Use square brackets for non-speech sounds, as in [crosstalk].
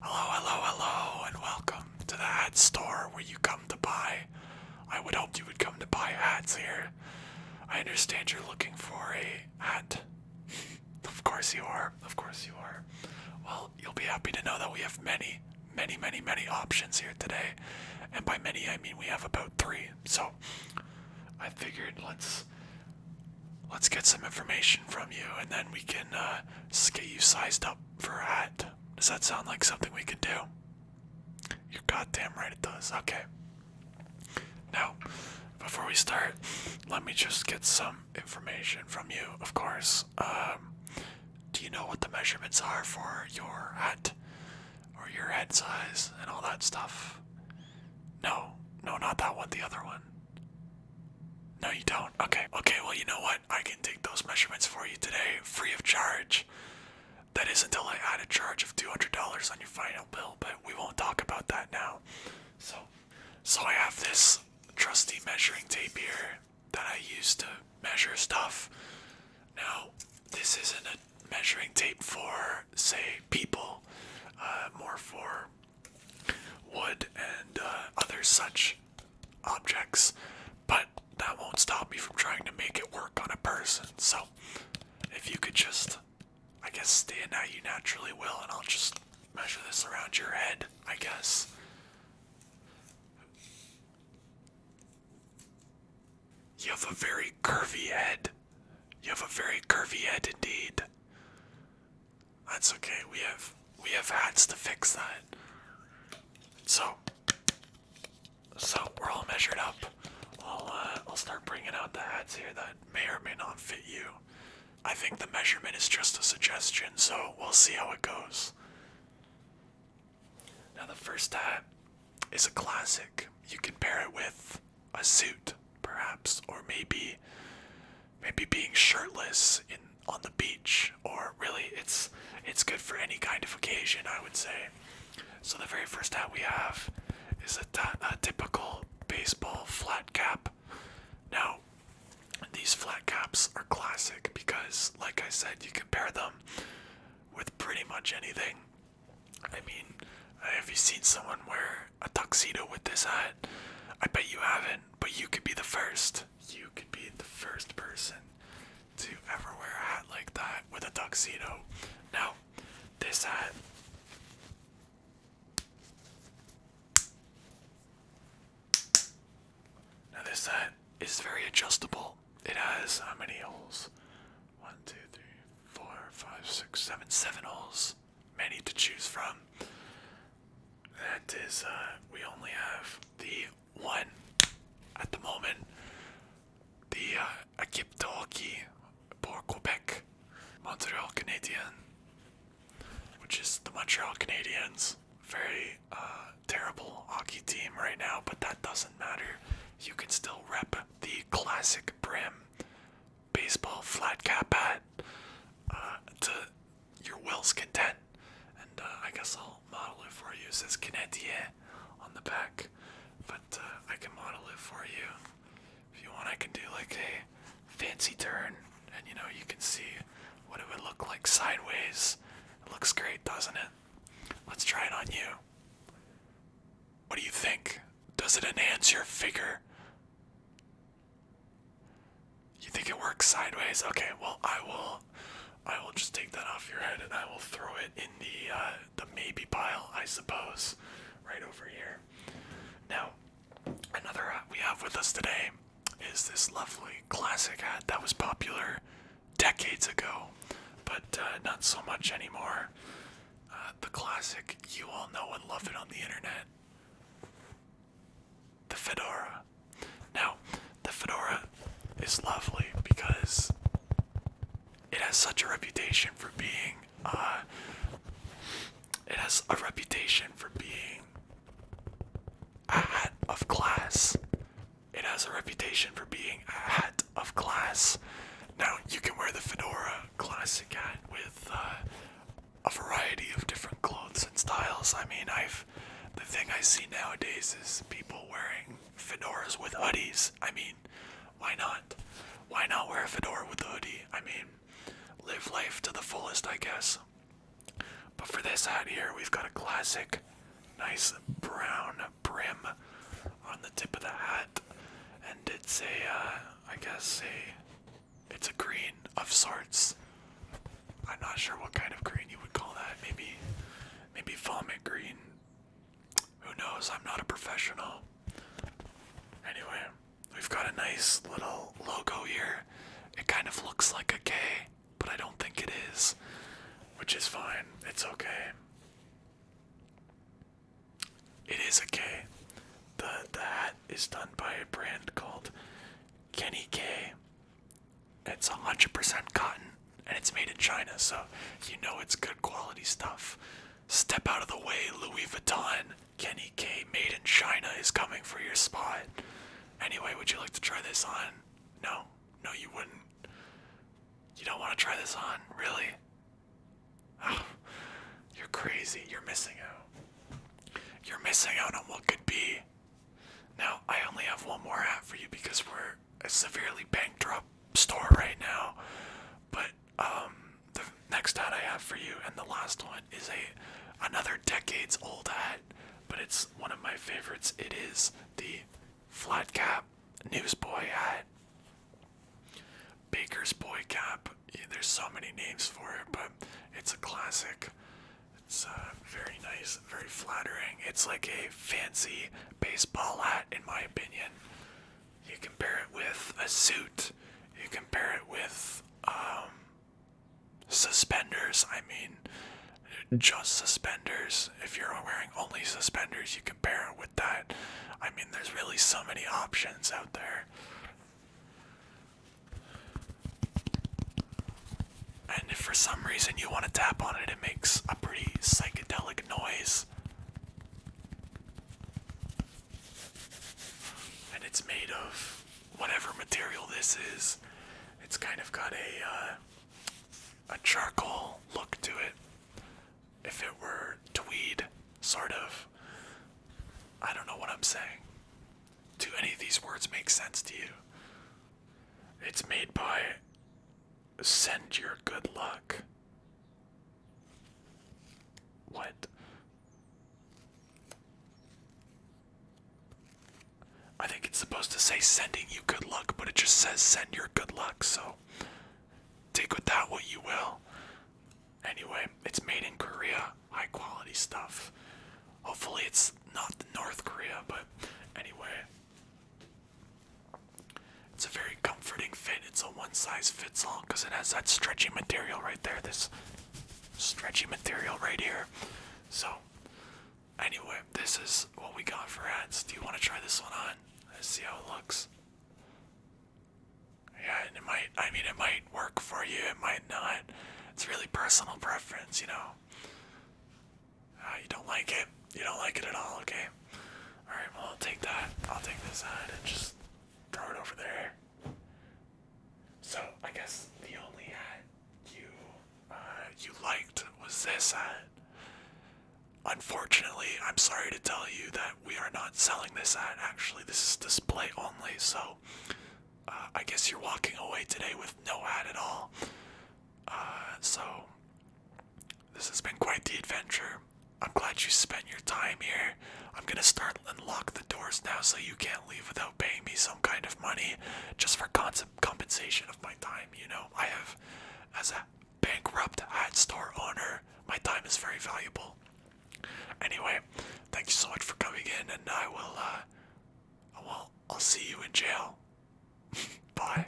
Hello, hello, hello, and welcome to the hat store where you come to buy. I would hope you would come to buy hats here. I understand you're looking for a hat. [laughs] of course you are, of course you are. Well, you'll be happy to know that we have many, many, many, many options here today. And by many, I mean we have about three. So I figured let's Let's get some information from you, and then we can uh, get you sized up for a hat. Does that sound like something we can do? You're goddamn right it does. Okay. Now, before we start, let me just get some information from you, of course. Um, do you know what the measurements are for your hat? Or your head size and all that stuff? No, no, not that one, the other one. No, you don't. Okay. Okay, well, you know what? I can take those measurements for you today, free of charge. That is until I add a charge of $200 on your final bill, but we won't talk about that now. So, so I have this trusty measuring tape here that I use to measure stuff. Now, this isn't a measuring tape for, say, people, uh, more for wood, and uh, other such objects, but that won't stop me from trying to make it work on a person. So, if you could just, I guess, stand. Now you naturally will, and I'll just measure this around your head, I guess. You have a very curvy head. You have a very curvy head indeed. That's okay. We have we have hats to fix that. So so we're all measured up. I'll uh, I'll start bringing out the hats here that may or may not fit you. I think the measurement is just a suggestion, so we'll see how it goes. Now the first hat is a classic. You can pair it with a suit, perhaps, or maybe maybe being shirtless in on the beach, or really it's it's good for any kind of occasion, I would say. So the very first hat we have is a, a typical baseball flat cap. Now, these flat caps are classic because, like I said, you can pair them with pretty much anything I mean, uh, have you seen someone wear a tuxedo with this hat? I bet you haven't, but you could be the first. You could be the first person to ever wear a hat like that with a tuxedo. Now, this hat. Now, this hat is very adjustable. It has many holes? One, two, three, four, five, six, seven, seven holes. Many to choose from. That is, uh, we only have the one at the moment. The uh, Akiptoki pour Quebec, Montreal Canadian, which is the Montreal Canadiens. Very uh, terrible hockey team right now, but that doesn't matter. You can still rep the classic brim baseball flat cap hat uh, to your will's content. And uh, I guess I'll model it for you. It says Canadier on the back, but uh, I can model it for you. If you want, I can do like a fancy turn, and you know, you can see what it would look like sideways. looks great, doesn't it? Let's try it on you. What do you think? Does it enhance your figure? You think it works sideways? Okay, well I will I will just take that off your head and I will throw it in the uh, the maybe pile, I suppose, right over here. Now, another hat we have with us today is this lovely classic hat that was popular decades ago, but uh, not so much anymore. Uh, the classic, you all know and love it on the internet. The fedora. Now, the fedora is lovely because it has such a reputation for being, uh, it has a reputation for being a hat of class. It has a reputation for being a hat of class. Now, you can wear the fedora classic hat with uh, a variety of different clothes and styles. I mean, I've the thing I see nowadays is people wearing fedoras with hoodies. I mean, why not? Why not wear a fedora with a hoodie? I mean, live life to the fullest, I guess. But for this hat here, we've got a classic, nice brown brim on the tip of the hat, and it's a, uh, I guess a, it's a green of sorts. I'm not sure what kind of green you would call that. Maybe, maybe vomit green. Who knows? I'm not a professional. Anyway, we've got a nice little logo here. It kind of looks like a K, but I don't think it is, which is fine. It's okay. It is okay. The the hat is done by a brand called Kenny K. It's 100% cotton and it's made in China, so you know it's good quality stuff. Step out of the way, Louis Vuitton. Kenny K made in China is coming for your spot. Anyway, would you like to try this on? No, no, you wouldn't. You don't want to try this on, really? Oh, you're crazy. You're missing out. You're missing out on what could be. Now, I only have one more hat for you because we're a severely drop store right now. But um, the next hat I have for you, and the last one, is a another decades old hat, but it's one of my favorites. It is the flat cap newsboy hat. Baker's boy cap. there's so many names for it, but it's a classic. It's uh, very nice, very flattering. It's like a fancy baseball hat, in my opinion. You compare it with a suit. You compare it with um, Suspenders, I mean, just suspenders. If you're wearing only suspenders, you can pair it with that. I mean, there's really so many options out there. And if for some reason you want to tap on it, it makes a pretty psychedelic noise and it's made of whatever material this is. It's kind of got a uh, a charcoal look to it. If it were tweed, sort of. I don't know what I'm saying. Do any of these words make sense to you? It's made by Send Your Good Luck. What? I think it's supposed to say sending you good luck, but it just says send your good luck, so take with that what you will. Anyway, it's made in Korea, high quality stuff. Hopefully, it's not North Korea, but anyway. It's a very comforting fit. It's a one size fits all because it has that stretchy material right there. This stretchy material right here. So, anyway, this is what we got for ads. Do you want to try this one on? Let's see how it looks. Yeah, and it might, I mean, it might work for you, it might not. It's really personal preference, you know. Uh, you don't like it, you don't like it at all, okay? All right, well I'll take that. I'll take this side and just throw it over there. So I guess the only hat you uh, you liked was this hat. Unfortunately, I'm sorry to tell you that we are not selling this ad. Actually, this is display only. So uh, I guess you're walking away today with no ad at all. Uh, so this has been quite the adventure. I'm glad you spent your time here. I'm gonna start and lock the doors now so you can't leave without paying me some kind of money just for compensation of my time, you know? I have, as a bankrupt ad store owner, my time is very valuable. Anyway, thank you so much for coming in and I will, uh, well, I'll see you in jail. [laughs] Bye.